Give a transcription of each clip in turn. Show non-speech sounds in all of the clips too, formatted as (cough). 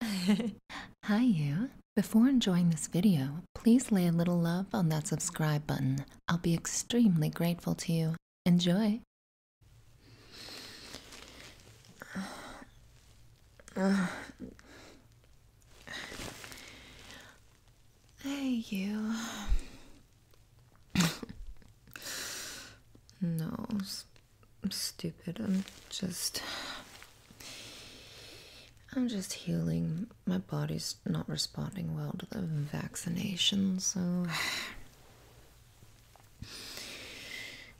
(laughs) Hi you! Before enjoying this video, please lay a little love on that subscribe button. I'll be extremely grateful to you. Enjoy! (sighs) Hey you! (coughs) Nose. I'm stupid. I'm just. I'm just healing. My body's not responding well to the vaccination, so.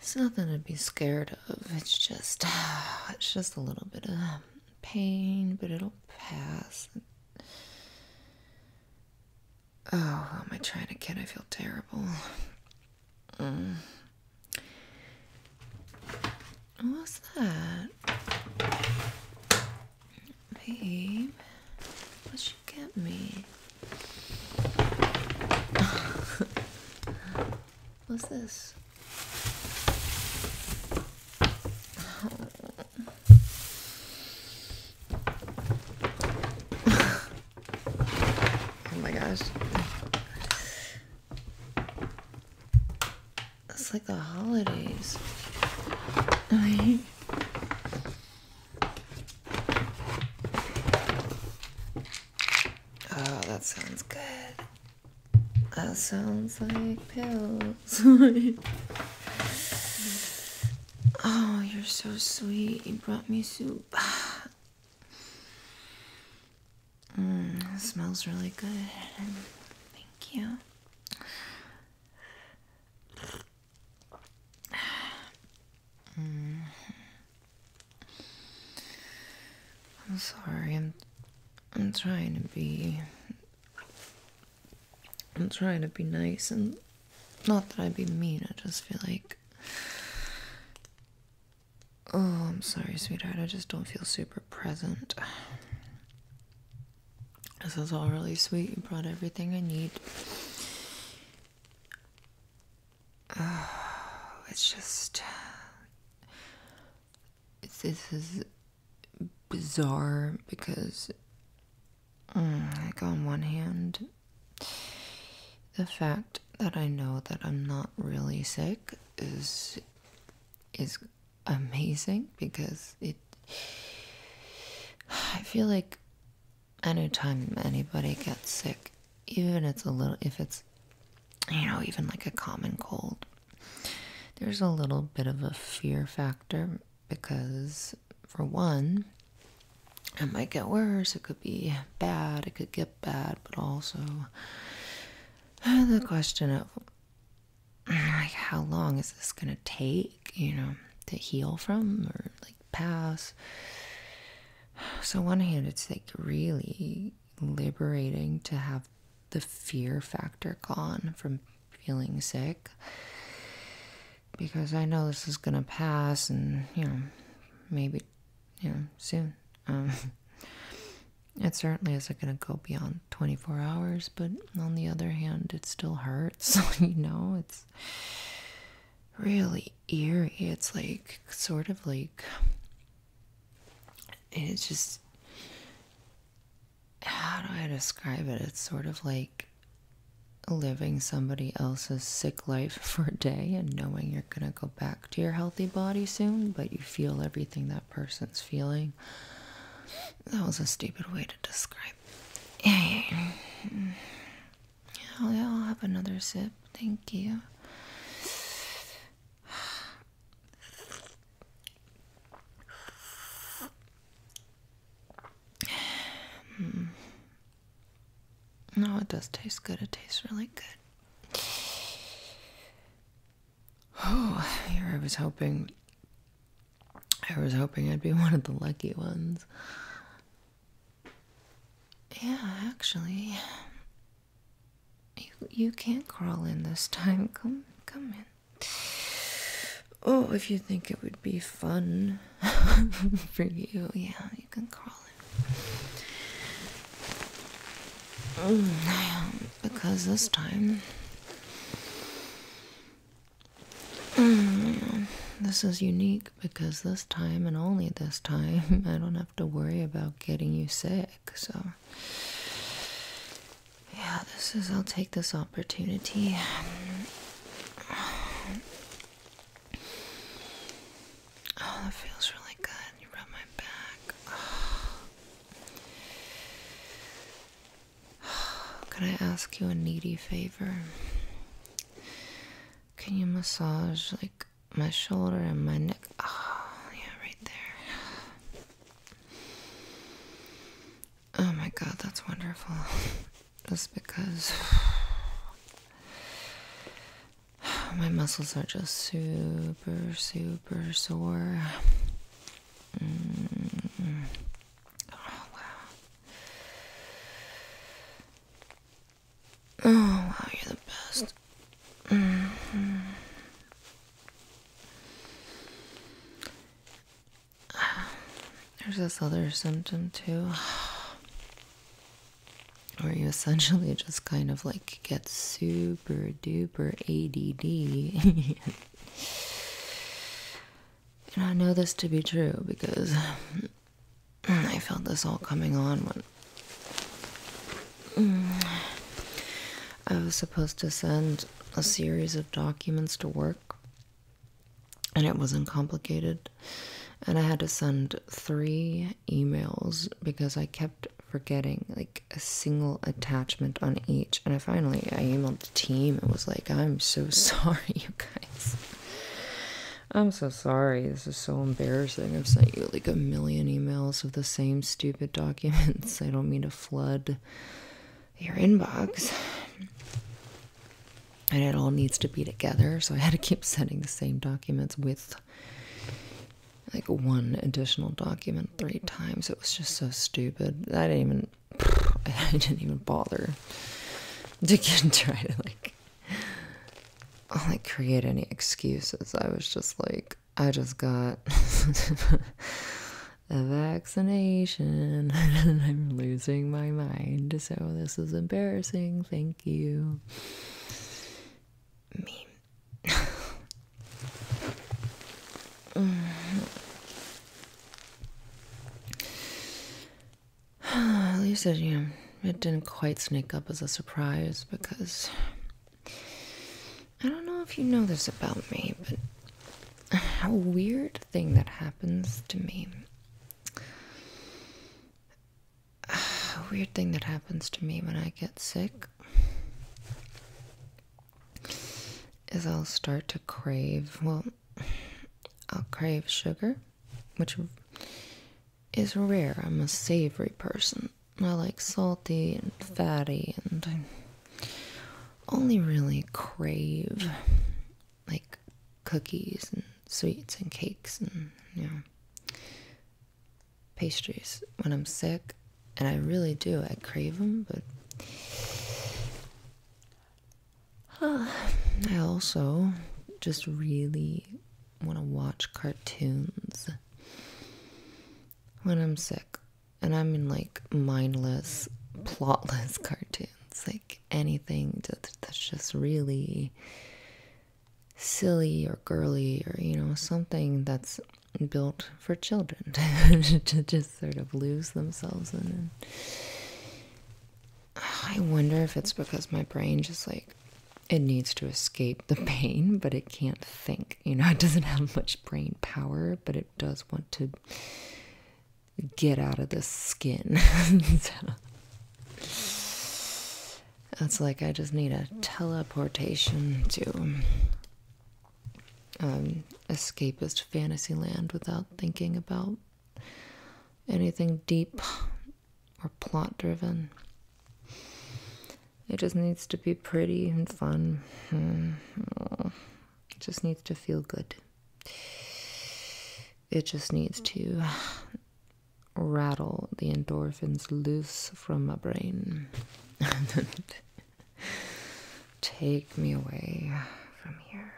It's nothing to be scared of. It's just. It's just a little bit of pain, but it'll pass. Oh, am I trying to kid? I feel terrible. Mm. What's that? Babe, what'd you get me? (laughs) What's this? Oh. (laughs) oh my gosh. It's like the holidays. oh, that sounds good. That sounds like pills. (laughs) oh, you're so sweet. You brought me soup. (sighs) (sighs) Mm, smells really good. Thank you. Mm-hmm. I'm sorry. I'm I'm trying to be I'm trying to be nice and not that I'd be mean. I just feel like Oh, I'm sorry, sweetheart. I just don't feel super present. This is all really sweet. You brought everything I need. (sighs) it's just. this is bizarre because, mm, like, on one hand, the fact that I know that I'm not really sick is is amazing because it I feel like anytime anybody gets sick, even it's a little if it's you know, even like a common cold, there's a little bit of a fear factor because for one, it might get worse, it could be bad, it could get bad, but also (sighs) the question of (sighs) like how long is this gonna take, you know, to heal from or like pass. (sighs) So on one hand it's like really liberating to have the fear factor gone from feeling sick because I know this is gonna pass and you know maybe you know soon um, (laughs) It certainly isn't going to go beyond 24 hours, but on the other hand, it still hurts. (laughs) you know, it's really eerie. It's like sort of like it's just how do I describe it? It's sort of like living somebody else's sick life (laughs) for a day and knowing you're going to go back to your healthy body soon, but you feel everything that person's feeling. That was a stupid way to describe. Yeah, I'll have another sip. Thank you. (sighs) No, it does taste good. It tastes really good. Oh, here I was hoping. I was hoping I'd be (laughs) one of the lucky ones. Yeah, actually. You you can't crawl in this time. Come come in. Oh, if you think it would be fun (laughs) for you, yeah, you can crawl in. Mm, because this time this is unique because this time and only this time (laughs) I don't have to worry about getting you sick. So yeah, this is I'll take this opportunity. Oh, that feels really good. You rub my back. (sighs) Can I ask you a needy favor? Can you massage like my shoulder and my neck? Oh, yeah, right there. Oh my god, that's wonderful. Just (laughs) because (sighs) my muscles are just super, super super sore. Mm. Oh wow. Oh wow, you're the best. Mm-hmm. There's this other symptom too. Where you essentially just kind of like get super super duper ADD. and I know this to be true because I felt this all coming on when I was supposed to send a series of documents to work, and it wasn't complicated. And I had to send three emails because I kept forgetting. Like, a single attachment on each. And I finally I emailed the team and was like, I'm so (laughs) sorry, you guys. I'm so sorry. This is so embarrassing. I've sent you like a million emails of the same stupid (laughs) documents. I don't mean to flood your inbox. And it all needs to be together, so I had to keep sending the same documents with like one additional document three times. It was just so stupid. I didn't even (laughs) I didn't even bother to (laughs) try to like like create any excuses. I was just like I just got (laughs) a vaccination and I'm losing my mind. So this is embarrassing. Thank you. Me at least it, you know, it didn't quite sneak up as a surprise because I don't know if you know this about me, but (sighs) a weird thing that happens to me. (sighs) A weird thing that happens to me when I get sick is I'll start to crave, well, I'll crave sugar, which is rare. I'm a savory person. I like salty and fatty, and I only really crave like cookies and sweets and cakes and, you know, pastries when I'm sick and I really do. I crave them, but (sighs) I also just really want to watch cartoons when I'm sick. And I mean, like, mindless, plotless (laughs) cartoons. Like, anything that's just really silly or girly or, you know, something that's built for children (laughs) to just sort of lose themselves in it. (sighs) I wonder if it's because my brain just like it needs to escape the (laughs) pain, but it can't think. You know, it doesn't have much brain power, but it does want to get out of the skin. That's (laughs) like I just need a teleportation to um, escapist fantasy land without thinking about anything deep or plot driven. It just needs to be pretty and fun. It hmm. just needs to feel good. It just needs to rattle the endorphins loose from my brain. (laughs) Take me away from here.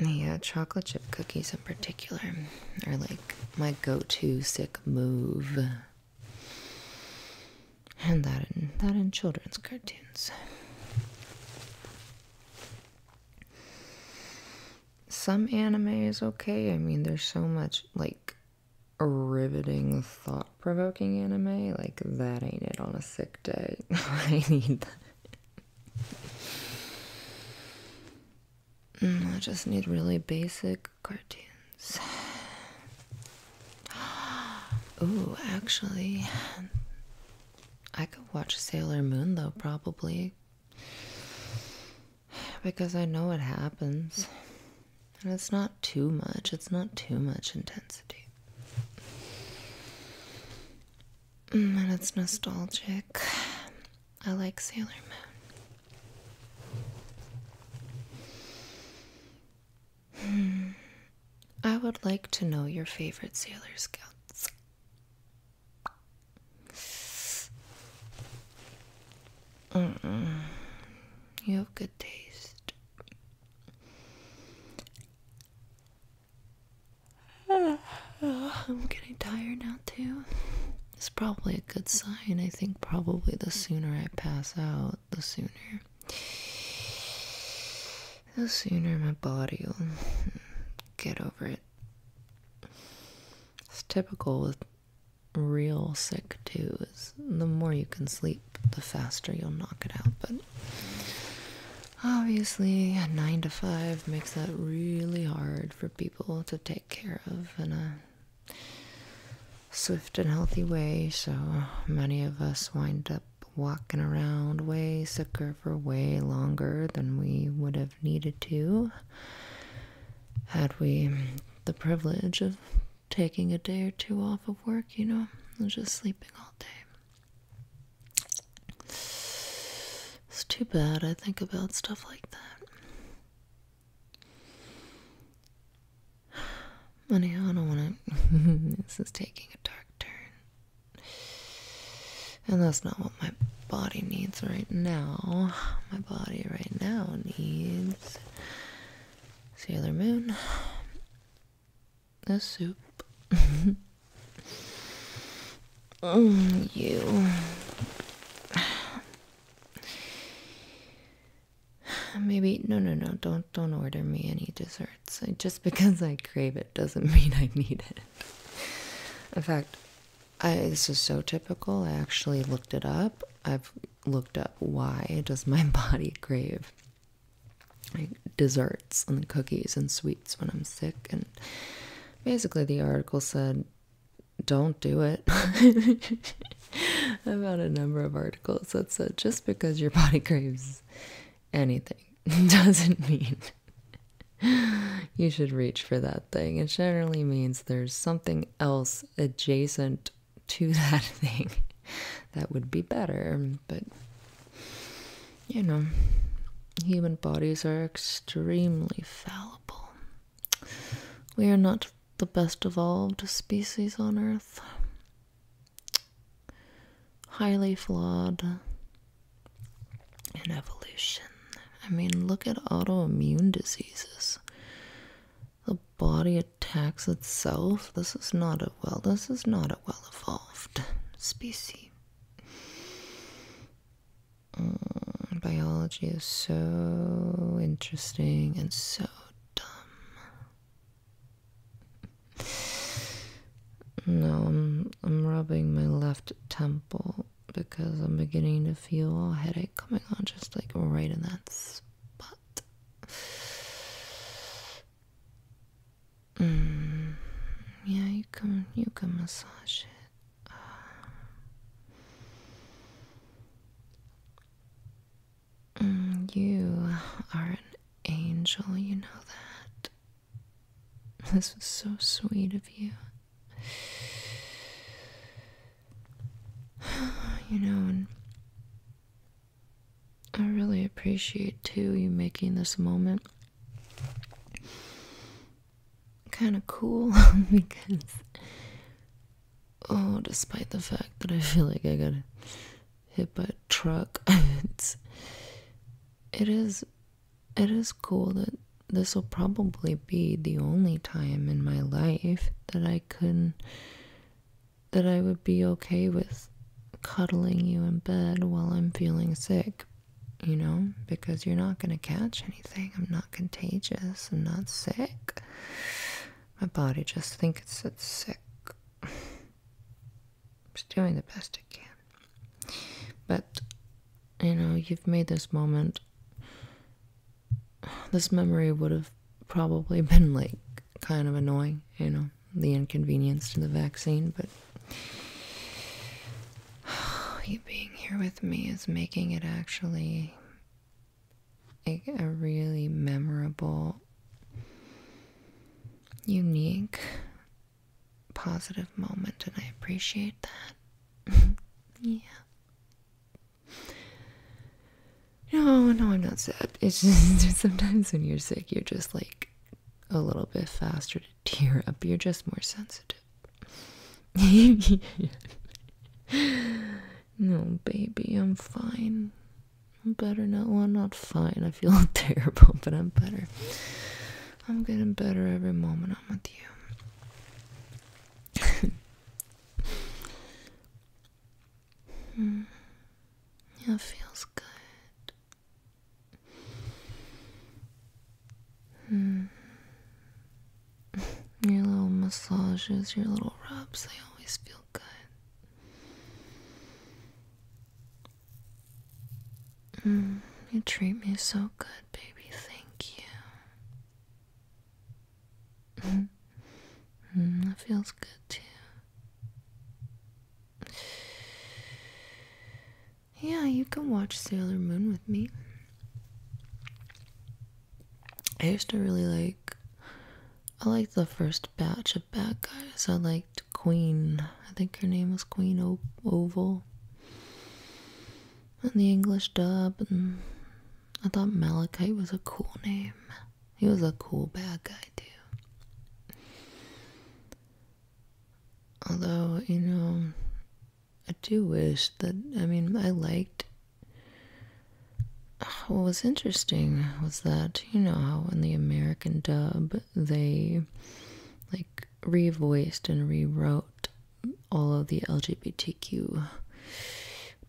Yeah, chocolate chip cookies in particular are like my go to sick move. And that in that in children's cartoons. Some anime is okay. I mean, there's so much like riveting, thought provoking anime, like that ain't it on a sick day. (laughs) I need that. Mm, I just need really basic cartoons. (gasps) Ooh, actually, I could watch Sailor Moon though, probably because I know it happens. And it's not too much, it's not too much intensity. Mm, and it's nostalgic. I like Sailor Moon. Hmm. I would like to know your favorite Sailor Scouts. You have good taste. (sighs) I'm getting tired now, too. It's probably a good sign. I think probably the sooner I pass out, the sooner. The sooner my body will get over it. It's typical with real sick too is the more you can sleep the faster you'll knock it out but obviously a 9 to 5 makes that really hard for people to take care of in a swift and healthy way so many of us wind up walking around way sicker for way longer than we would have needed to had we the privilege of taking a day or two off of work, you know, and just sleeping all day. It's too bad I think about stuff like that. Anyhow, I don't want to. (laughs) this is taking a dark turn. And that's not what my body needs right now. My body right now needs Sailor Moon. The soup. (laughs) mm, you. Maybe no, no, no. Don't don't order me any desserts. just because I crave it doesn't (laughs) mean I need it. In fact, I, this is so typical. I actually looked it up. I've looked up why does my (laughs) body crave like desserts and cookies and sweets when I'm sick and basically the article said don't do it. I've (laughs) had a number of articles that said just because your body (laughs) craves anything doesn't mean you should reach for that thing. It generally means there's something else adjacent to (laughs) that thing that would be better but you know human bodies are extremely fallible we are not the best evolved species on earth highly flawed in evolution i mean look at autoimmune diseases the body attacks itself? This is not a well this is not a well evolved species. Mm, biology is so interesting and so dumb. No, I'm I'm rubbing my left temple because I'm beginning to feel a headache coming on just like right in that spot. Hmm. yeah, you can you can massage it. Uh, hmm, you are an angel, you know that. This was so sweet of you. (sighs) You know, I really appreciate too you making this moment kind of cool (laughs) because oh, despite the fact that I feel like I got hit by a truck, (laughs) it's it is it is cool that this will probably be the only time in my life that I can that I would be okay with cuddling you in bed while I'm feeling sick, you know, because you're not going to catch anything. I'm not contagious. I'm not sick. My body just thinks it's sick. It's (sighs) doing the best it can. But, you know, you've made this moment this memory would have probably (laughs) been like kind of annoying, you know, the inconvenience to the vaccine, but (sighs) you being here with me is making it actually a, a really memorable, unique, positive moment, and I appreciate that. (laughs) yeah. No, no, I'm not sad. It's just (laughs) sometimes when you're sick, you're just like a little bit faster to tear up. You're just more sensitive. (laughs) no, baby, I'm fine. I'm better now. I'm not fine. I feel (laughs) terrible, but I'm better. I'm getting better every moment I'm with you. Hmm. feels good. Hmm. (laughs) Your little massages, your little rubs, they always feel good. Hmm, you treat me so good, baby. Thank you. Mm, that feels good too. Yeah, you can watch Sailor Moon with me. I used to really like. I liked the first batch of bad guys. I liked Queen. I think her name was Queen Oval. And the English dub. And I thought Malachite was a cool name. He was a cool bad guy too. Although, you know, I do wish that I mean I liked what was interesting was that you know how in the American dub they like revoiced and rewrote all of the LGBTQ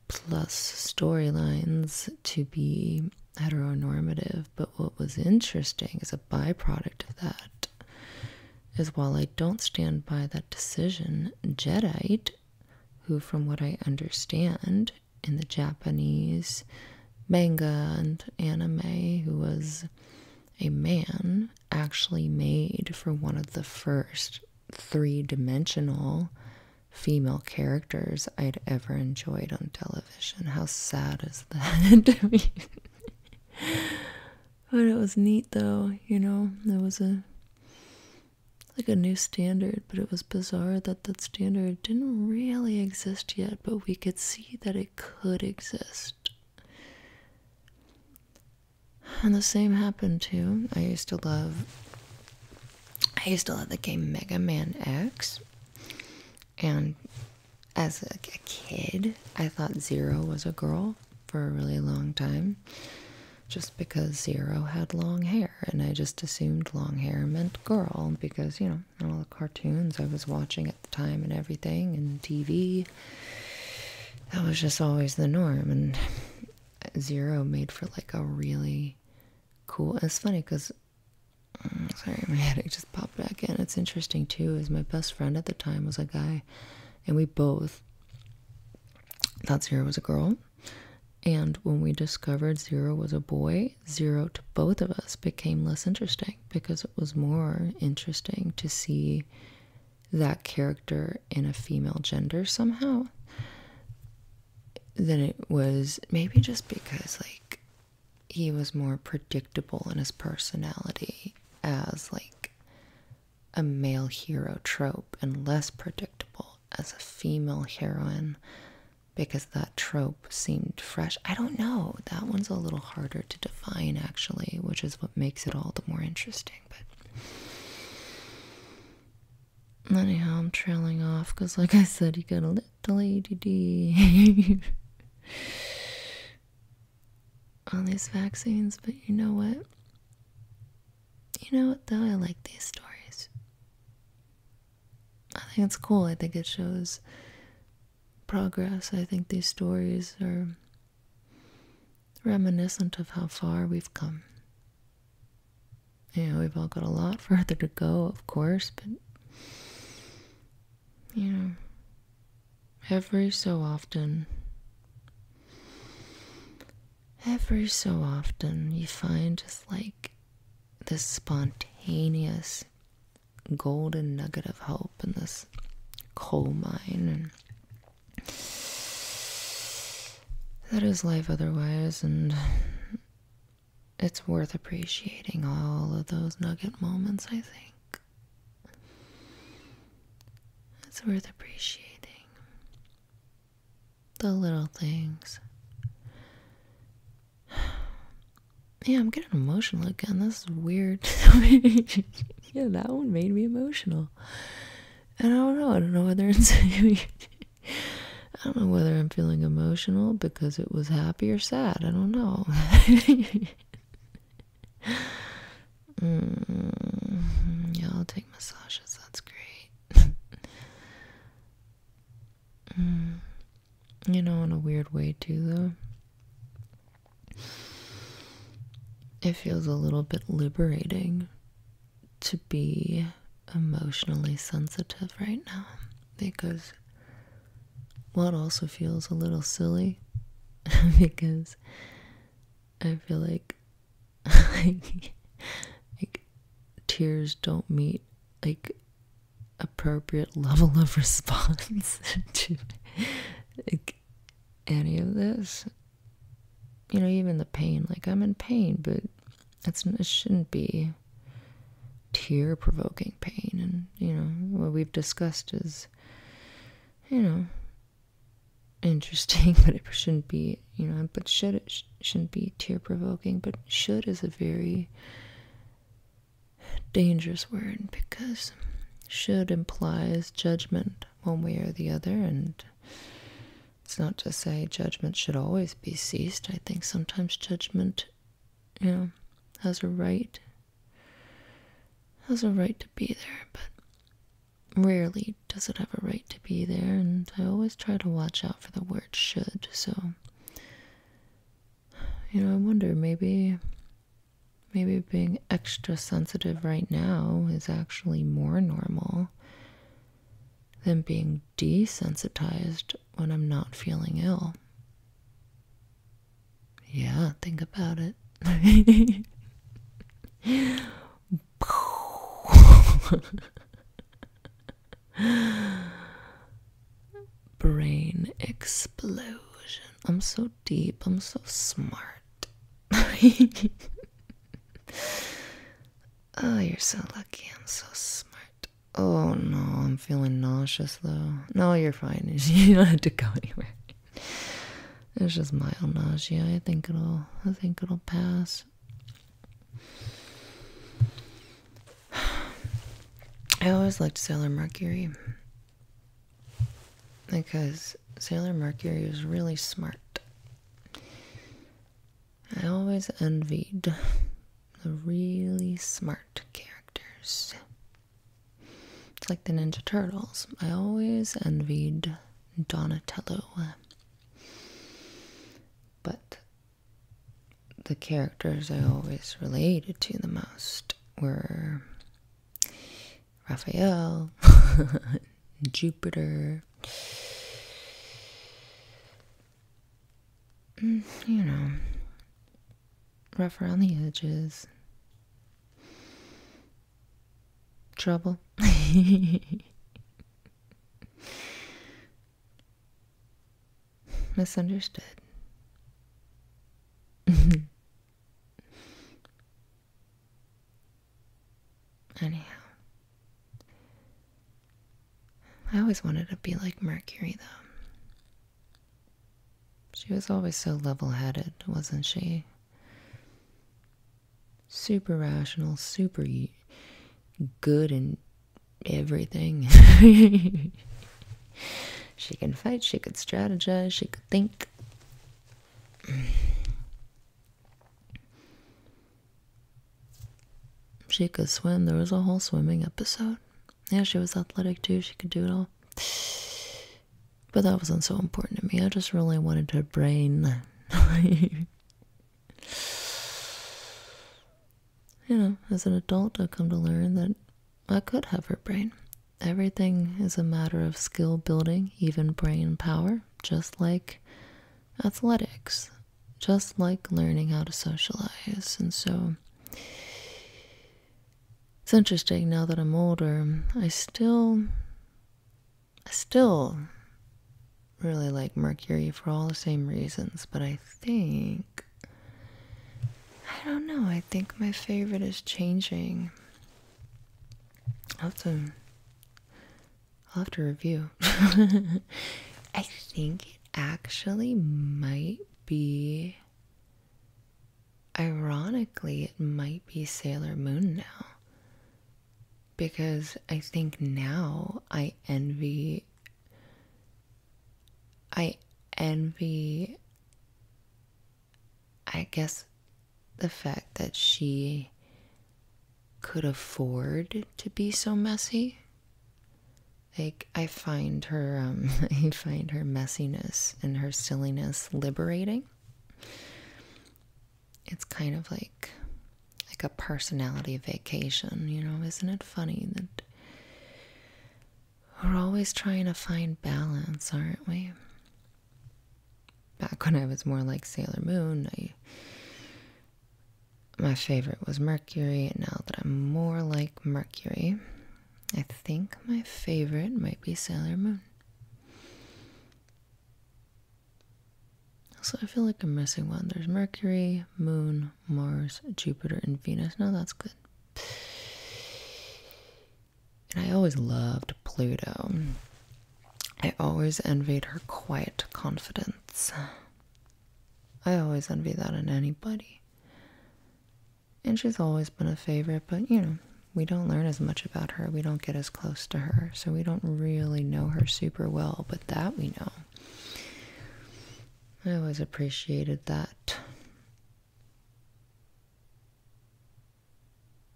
plus storylines to be heteronormative. But what was interesting as a byproduct of that is while I don't stand by that decision, Jedi, who, from what I understand in the Japanese manga and anime, who was a man, actually made for one of the first three dimensional female characters I'd ever enjoyed on television. How sad is that (laughs) but it was neat though, you know, there was a like a new standard, but it was bizarre that that standard didn't really exist yet, but we could see that it could exist. And the same happened too. I used to love I used to love the game Mega Man X. And as a, kid, I thought Zero was a girl for a really long time just because Zero had long hair, and I just assumed long hair meant girl because, you know, all the cartoons I was watching at the time and everything, and TV, that was just always the norm. And Zero made for like a really cool. It's funny because Mm, sorry, my (laughs) headache just popped back in. It's interesting too, is my best friend at the time was a guy, and we both thought Zero was a girl. And when we discovered Zero was a boy, Zero to both of us became less interesting because it was more interesting to see that character in a female gender somehow than it was maybe just because like he was more predictable in his personality as like a male hero trope and less predictable as a female heroine because that trope seemed fresh. I don't know. That one's a little harder to define actually, which is what makes it all the more interesting, but anyhow, I'm trailing off because like I said, he got it the D D (laughs) All these vaccines, but you know what? You know what though? I like these stories. I think it's cool. I think it shows progress. I think these stories are reminiscent of how far we've come. Yeah, we've all got a lot (laughs) further to go, of course, but you know, every so often, every so often, you find just like this spontaneous golden nugget of hope in this coal mine, and that is life otherwise, and it's worth appreciating all of those nugget moments, I think. It's worth appreciating the little things. (sighs) Yeah, I'm getting emotional again. This is weird. (laughs) yeah, that one made me emotional. And I don't know. I don't know whether it's. (laughs) I don't know whether I'm feeling emotional because it was happy or sad. I don't know. (laughs) mm, yeah, take massages. That's great. (laughs) Mm. you know, in a weird way, too, though. It feels a little bit liberating to be emotionally sensitive right now because because what also feels a little silly (laughs) because I feel like (laughs) like, like tears don't meet like appropriate level of (laughs) response to like any of this you know even the pain like i'm in pain but it's it shouldn't be tear provoking pain. And, you know, what we've discussed is, you know, interesting, (laughs) but it shouldn't be, you know, but should it shouldn't be tear provoking. But should is a very dangerous word because should implies judgment one way or the other. And, it's not to say judgment should always be ceased. I think sometimes judgment you know, has a right has a right to be there, but rarely does it have a right to be there, and I always try to watch out for the word should, so you know, I wonder maybe maybe being extra sensitive right now is actually more normal than being desensitized when I'm not feeling ill? Yeah, think about it. (laughs) Brain explosion. I'm so deep, I'm so smart. oh, (laughs) you're so lucky, I'm so smart. Oh no, I'm feeling nauseous though. No, you're fine. (laughs) You don't have to go anywhere. It's just mild nausea. I think it'll. I think it'll pass. I always liked Sailor Mercury because Sailor Mercury was really smart. I always envied the really smart characters. like the Ninja Turtles. I always envied Donatello. But the characters I always related to the most were Raphael, (laughs) Jupiter, mm, you know, rough around the edges, trouble. Misunderstood. Anyhow, I always wanted to be like Mercury, though. She was always so level headed, wasn't she? Super rational, super good in everything. (laughs) she can fight, she could strategize, she could think. She could swim. There was a whole swimming episode. Yeah, she was athletic too. She could do it all. But that wasn't so important to me. I just really wanted her brain. (laughs) you know, as an adult, I've come to learn that I could have her brain. Everything is a matter of skill building, even brain power, just like athletics, just like learning how to socialize. And so it's interesting now that I'm older. I still I still really like Mercury for all the same reasons, but I think I don't know. I think my favorite is changing. I'll have to, I'll have to review. (laughs) I think it actually might be Ironically, it might be Sailor Moon now. Because I think now I envy. I envy. I guess the fact that she could afford to be so messy like I find her um (laughs) I find her messiness and her silliness liberating. It's kind of like like a personality vacation, you know, isn't it funny that we're always trying to find balance, aren't we? Back when I was more like Sailor Moon, I my favorite was Mercury, and now that I'm more like Mercury, I think my favorite might be Sailor Moon. So I feel like I'm missing one. There's Mercury, Moon, Mars, Jupiter, and Venus. No, that's good. And I always loved Pluto. I always envied her quiet confidence. I always envy that in anybody. And she's always been a favorite, but you know, we don't learn as much about her. We don't get as close to her. So we don't really know her super well, but that we know. I always appreciated that.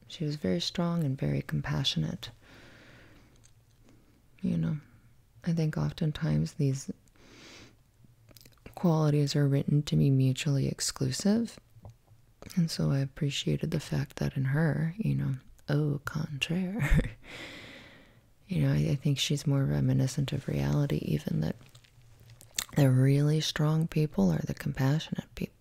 She was very strong and very compassionate. You know, I think oftentimes these qualities are written to be mutually exclusive. And so I appreciated the fact that in her, you know, oh contraire, (laughs) you know, I think she's more reminiscent of reality, even that the really strong people are the compassionate people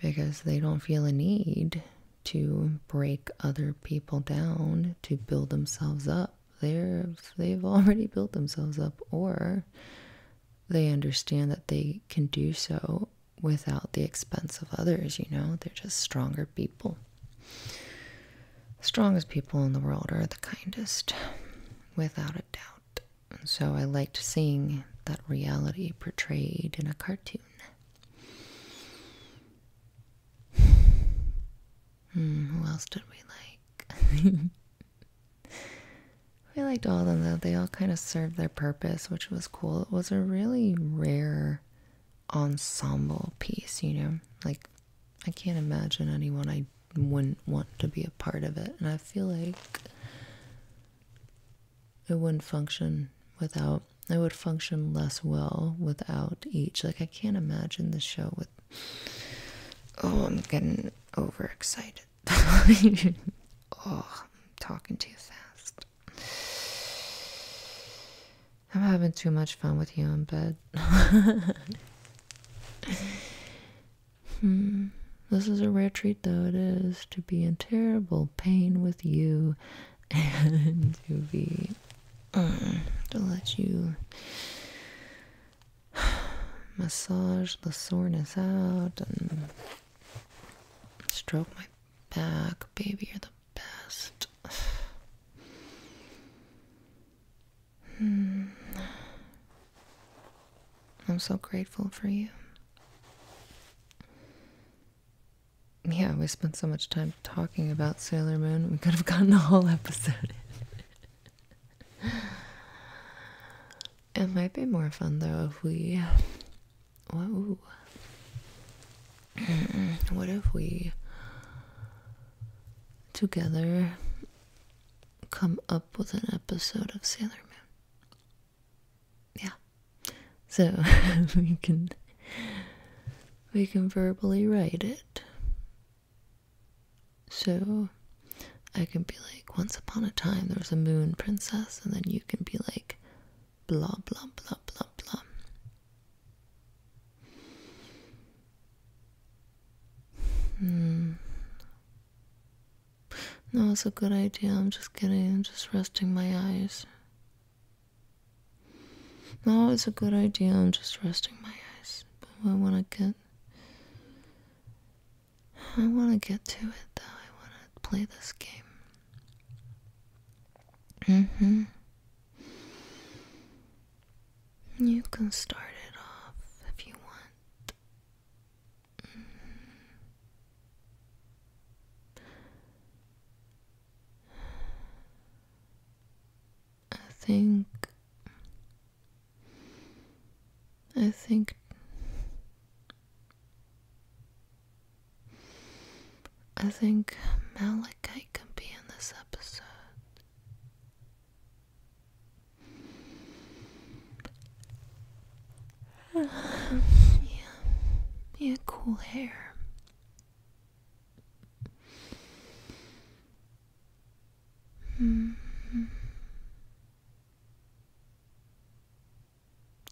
because they don't feel a need to break other people down to build themselves up they're they've already built themselves up or they understand that they can do so without the expense of others, you know? They're just stronger people. strongest people in the world are the kindest, without a doubt. And so I liked seeing that reality portrayed in a cartoon. Hmm, who else did we like? (laughs) We liked all of them though. They all kind of served their purpose, which was cool. It was a really rare ensemble piece, you know? Like, I can't imagine anyone I wouldn't want to be a part of it. And I feel like it wouldn't function without, it would function less well without each. Like, I can't imagine the show with Oh, I'm getting overexcited. (laughs) oh, I'm talking too fast. I'm having too much fun with you in bed. (laughs) hmm. This is a rare treat, though it is, to be in terrible pain with you (laughs) and to be. Mm, to let you (sighs) massage the soreness out and stroke my back. Baby, you're the best. (sighs) Hmm. I'm so grateful for you. Yeah, we spent so much time talking about Sailor Moon, we could have gotten a whole episode (laughs) it might be more fun though if we. what if we together come up with an episode of Sailor Moon? Yeah. So (laughs) we can we can verbally write it so I can be like, once upon a time there was a moon princess, and then you can be like, blah, blah, blah, blah, blah. Hmm. No, it's a good idea. I'm just kidding. I'm just resting my eyes. No, it's a good idea. I'm just resting my eyes. But I want to get I want to get to it though. I want to play this game. Mm hmm. You can start it off if you want. Mm-hmm. I think I think I think Malachi could be in this episode. Um, (sighs) yeah, yeah, cool hair. Hmm.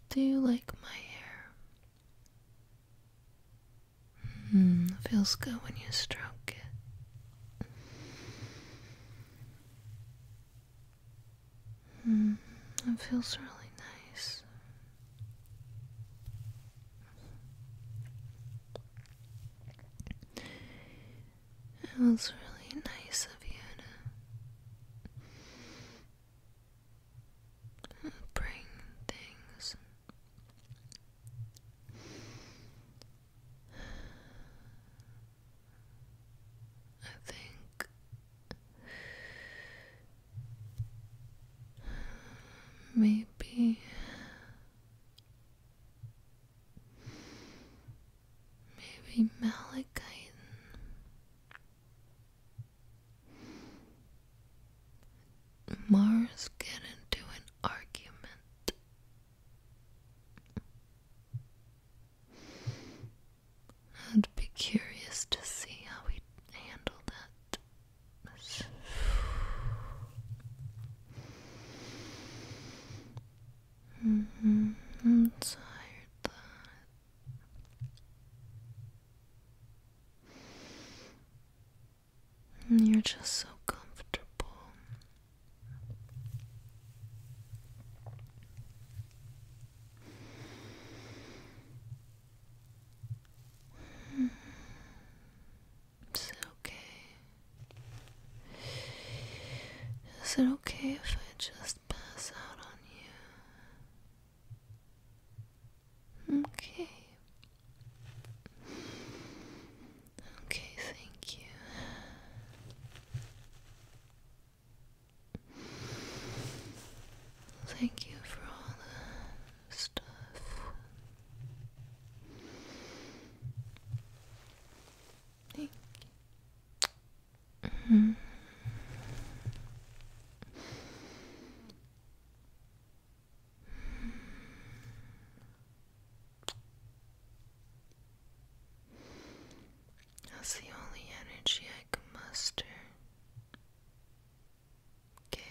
Do you like my hair? Hmm, feels good when you stroke it. Hmm, it feels really nice. It was really nice of you to bring things. I think maybe Maybe malachite. Mars get into an argument. I'd be curious to see how he handle that. Mm-hmm. I'm tired that. You're just so comfortable. It's okay. Is it okay if I just pass out on you? Okay. Okay, thank you. Thank you for all the stuff. Thank you. That's the only energy I can muster. Okay.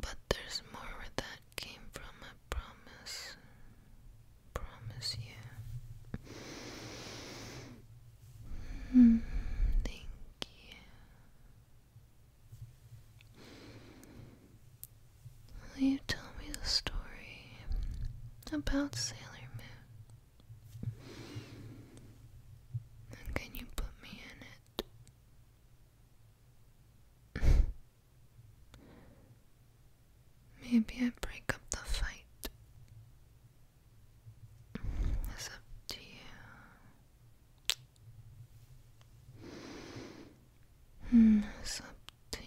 But there's more where that came from, I promise. Promise you. Hmm, thank you. Will you tell me the story about Sailor Moon? can you put me in it? (laughs) Maybe I break up the fight. It's up to you. Mm, it's up to you.